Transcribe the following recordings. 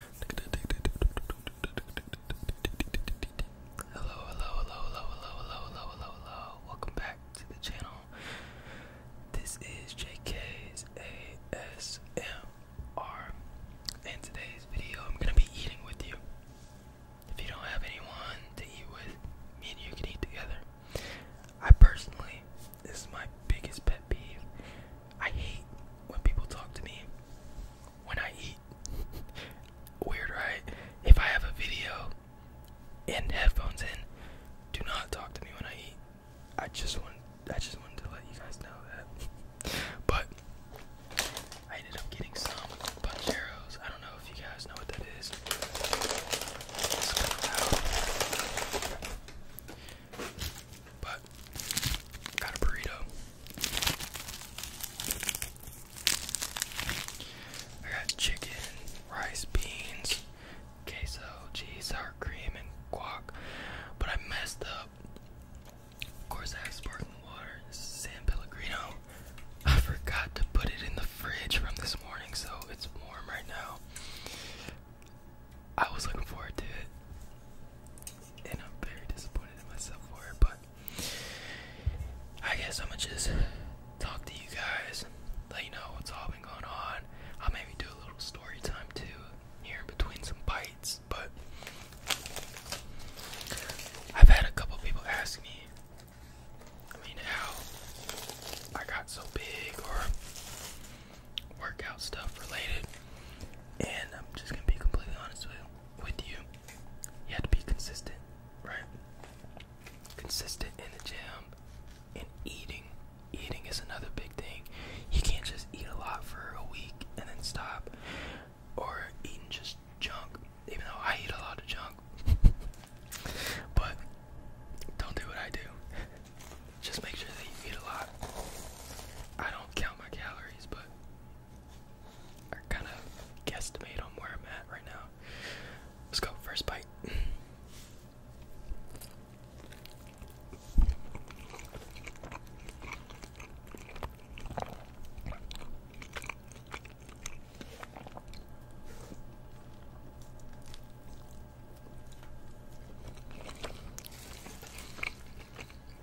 Hello, hello, hello, hello, hello, hello, hello, hello, hello. Welcome back to the channel. This is JK's ASMR. And today's video I'm gonna be eating with you. If you don't have anyone to eat with, me and you can eat together. I personally, this is my biggest pet peeve. I hate when people talk to me when I eat. Weird, right? If I have a video and headphones in, do not talk to me when I eat. I just want I just wanted to let you guys know that. but I ended up getting some Buncheros. I don't know if you guys know what that is. It's kind of loud. But got a burrito. I got chicken, rice, beans, queso, cheese, sour cream, and guac. But I messed up. Of course, I have sparkling water. This is San Pellegrino. I forgot to put it in the fridge from this morning, so it's warm right now. I was looking forward to it and I'm very disappointed in myself for it, but I guess I'ma just talk to you guys, let you know what's all been going on. I'll maybe do a little story time too here between some bites, but I've had a couple people ask me, I mean, how I got so big or workout stuff related. And I'm just gonna be completely honest with, you. You have to be consistent, right? Consistent in the gym and eating. Eating is another big thing. You can't just eat a lot for a week and then stop, or eating just junk. Even though I eat a lot of junk, but don't do what I do. Just make sure that you eat a lot. I don't count my calories, but or kind of guesstimate on where I'm at right now. Let's go, first bite.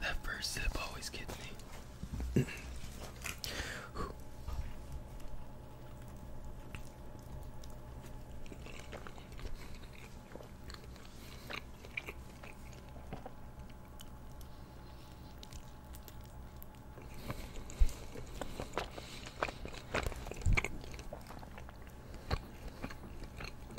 That first sip always gets me.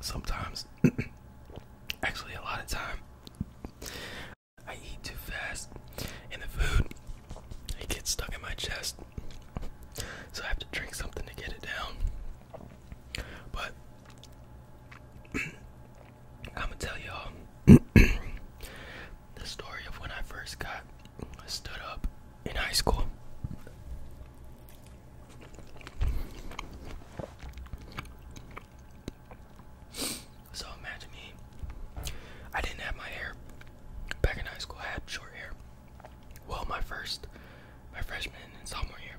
Sometimes, actually, a lot of time, I eat too fast, and the food it gets stuck in my chest, so I have to drink something to get it down. But I'm gonna tell y'all the story of when I first got stood up in high school. So imagine me. I didn't have my hair back in high school. had short hair. Well, my first, my freshman and sophomore year.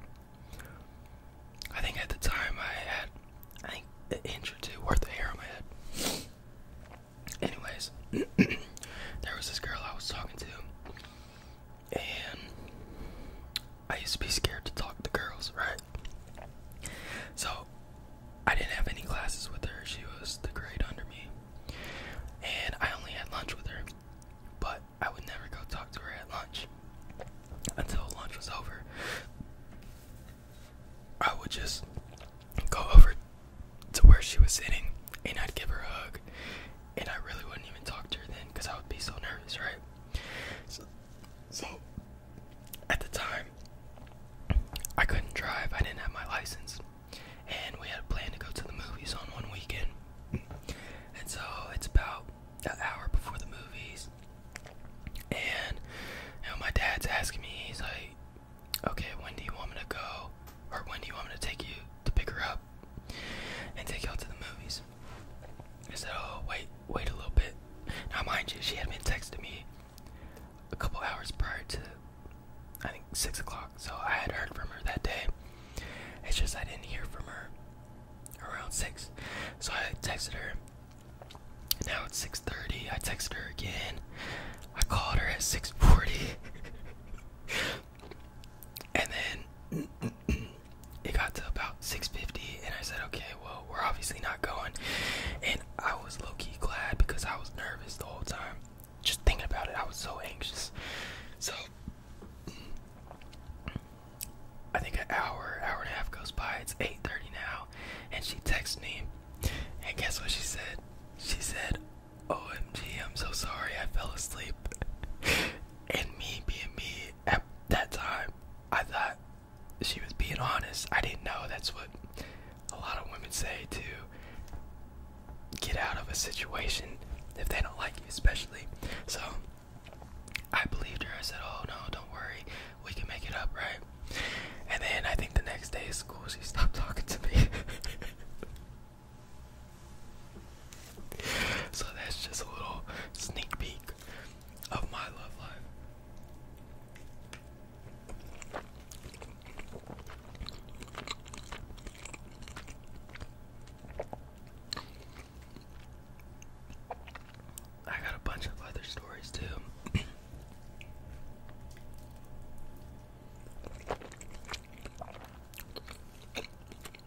I think at the time I had, I think an inch or two worth of hair on my head. Anyways, there was this girl I was talking to, and I used to be scared to talk to girls, right? So I didn't have any classes with her. She was the grade under me, and I only had lunch with her. But I would never go talk to her at lunch until lunch was over. I would just go over to where she was sitting and I'd give her a hug and I really wouldn't even talk to her then because I would be so nervous, right? So, at the time, I couldn't drive, I didn't have my license, and we had a plan to go to the movies on one weekend. And so it's about an hour before the movies, and my dad's asking me, he's like, Okay, when do you want me to go? Or when do you want me to take you to pick her up? and take y'all to the movies. I said, oh, wait, wait a little bit. Now, mind you, she had been texting me a couple hours prior to, I think, 6 o'clock. So I had heard from her that day. It's just I didn't hear from her around 6. So I texted her. Now it's 6.30. I texted her again. I called her at 6.40. And then it got to about 650 and I said, okay, well, we're obviously not going. And I was low-key glad because I was nervous the whole time. Just thinking about it, I was so anxious. So I think an hour, hour and a half goes by. It's 8:30 now, and she texts me. And guess what she said? She said, OMG, I'm so sorry I fell asleep. and me being me at that time, I thought she was being honest. I didn't know that's what a lot of women say to get out of a situation if they don't like you, especially. So I believed her. I said, Oh no, don't worry, we can make it up, right? And then I think the next day of school, she stopped talking to me. So that's just a little sneak peek of my love life. I got a bunch of other stories too.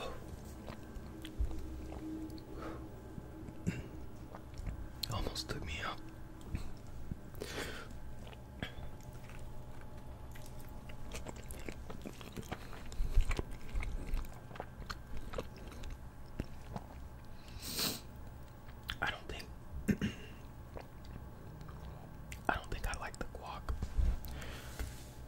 Oh. Almost took me out. I don't think I don't think I like the guac.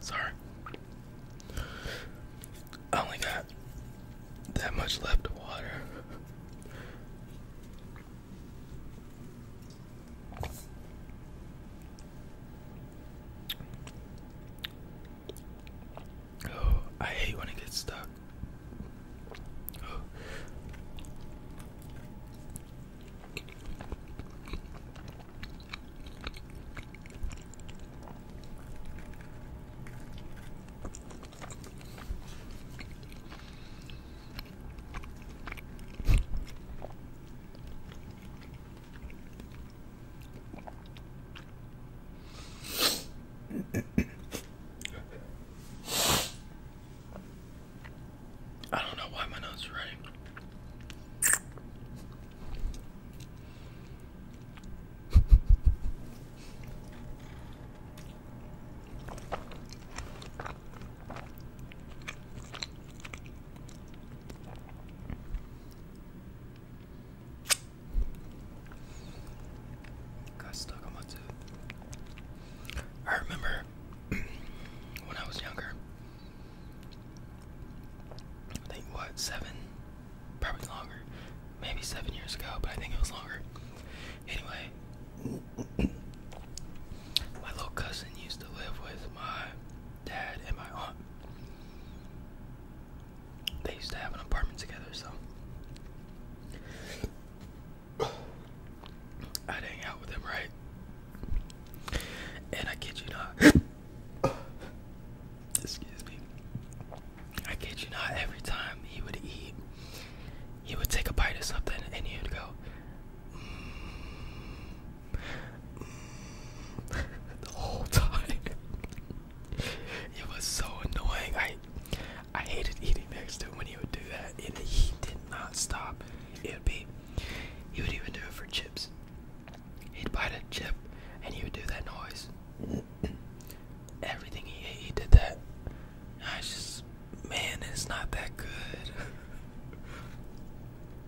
Sorry. I only got that much left of water. Oh, I hate when it gets stuck. I don't know why my nose is running. Got stuck on my tooth. I remember when I was younger. I think what seven, probably longer, maybe seven years ago, but I think it was longer. Anyway, my little cousin used to live with my dad and my aunt. They used to have an apartment together, so I'd hang out with them, right? And I kid you not, excuse me. I kid you not, every time he would eat, he would take a bite of something and he would go, mm, the whole time. it was so annoying. I I hated eating next to him when he would do that, and he did not stop. It would be he would even do it for chips. He'd bite a chip, and he would do that noise. Everything he ate, he did that. I just man, it's not that good.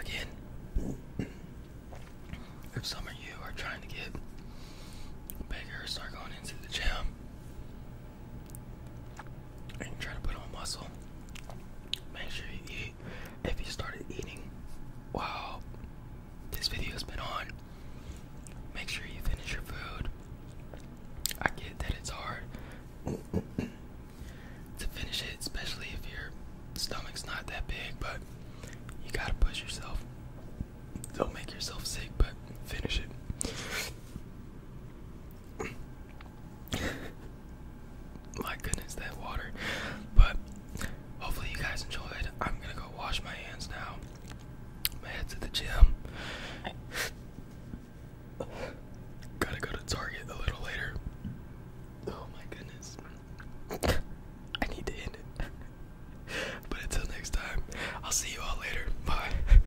Again, if some of you are trying to get bigger, start going into the gym, and you to put on muscle, make sure you If you started eating while this video has been on, make sure you finish your food. I get that it's hard to finish it, especially if your stomach's not that big, but you gotta push yourself. Don't make yourself sick, but finish it. My goodness, that water. But hopefully, you guys enjoyed. I'm gonna go wash my hands now. I'm head to the gym. Gotta go to Target a little later. Oh my goodness. I need to end it. but until next time, I'll see you all later. Bye.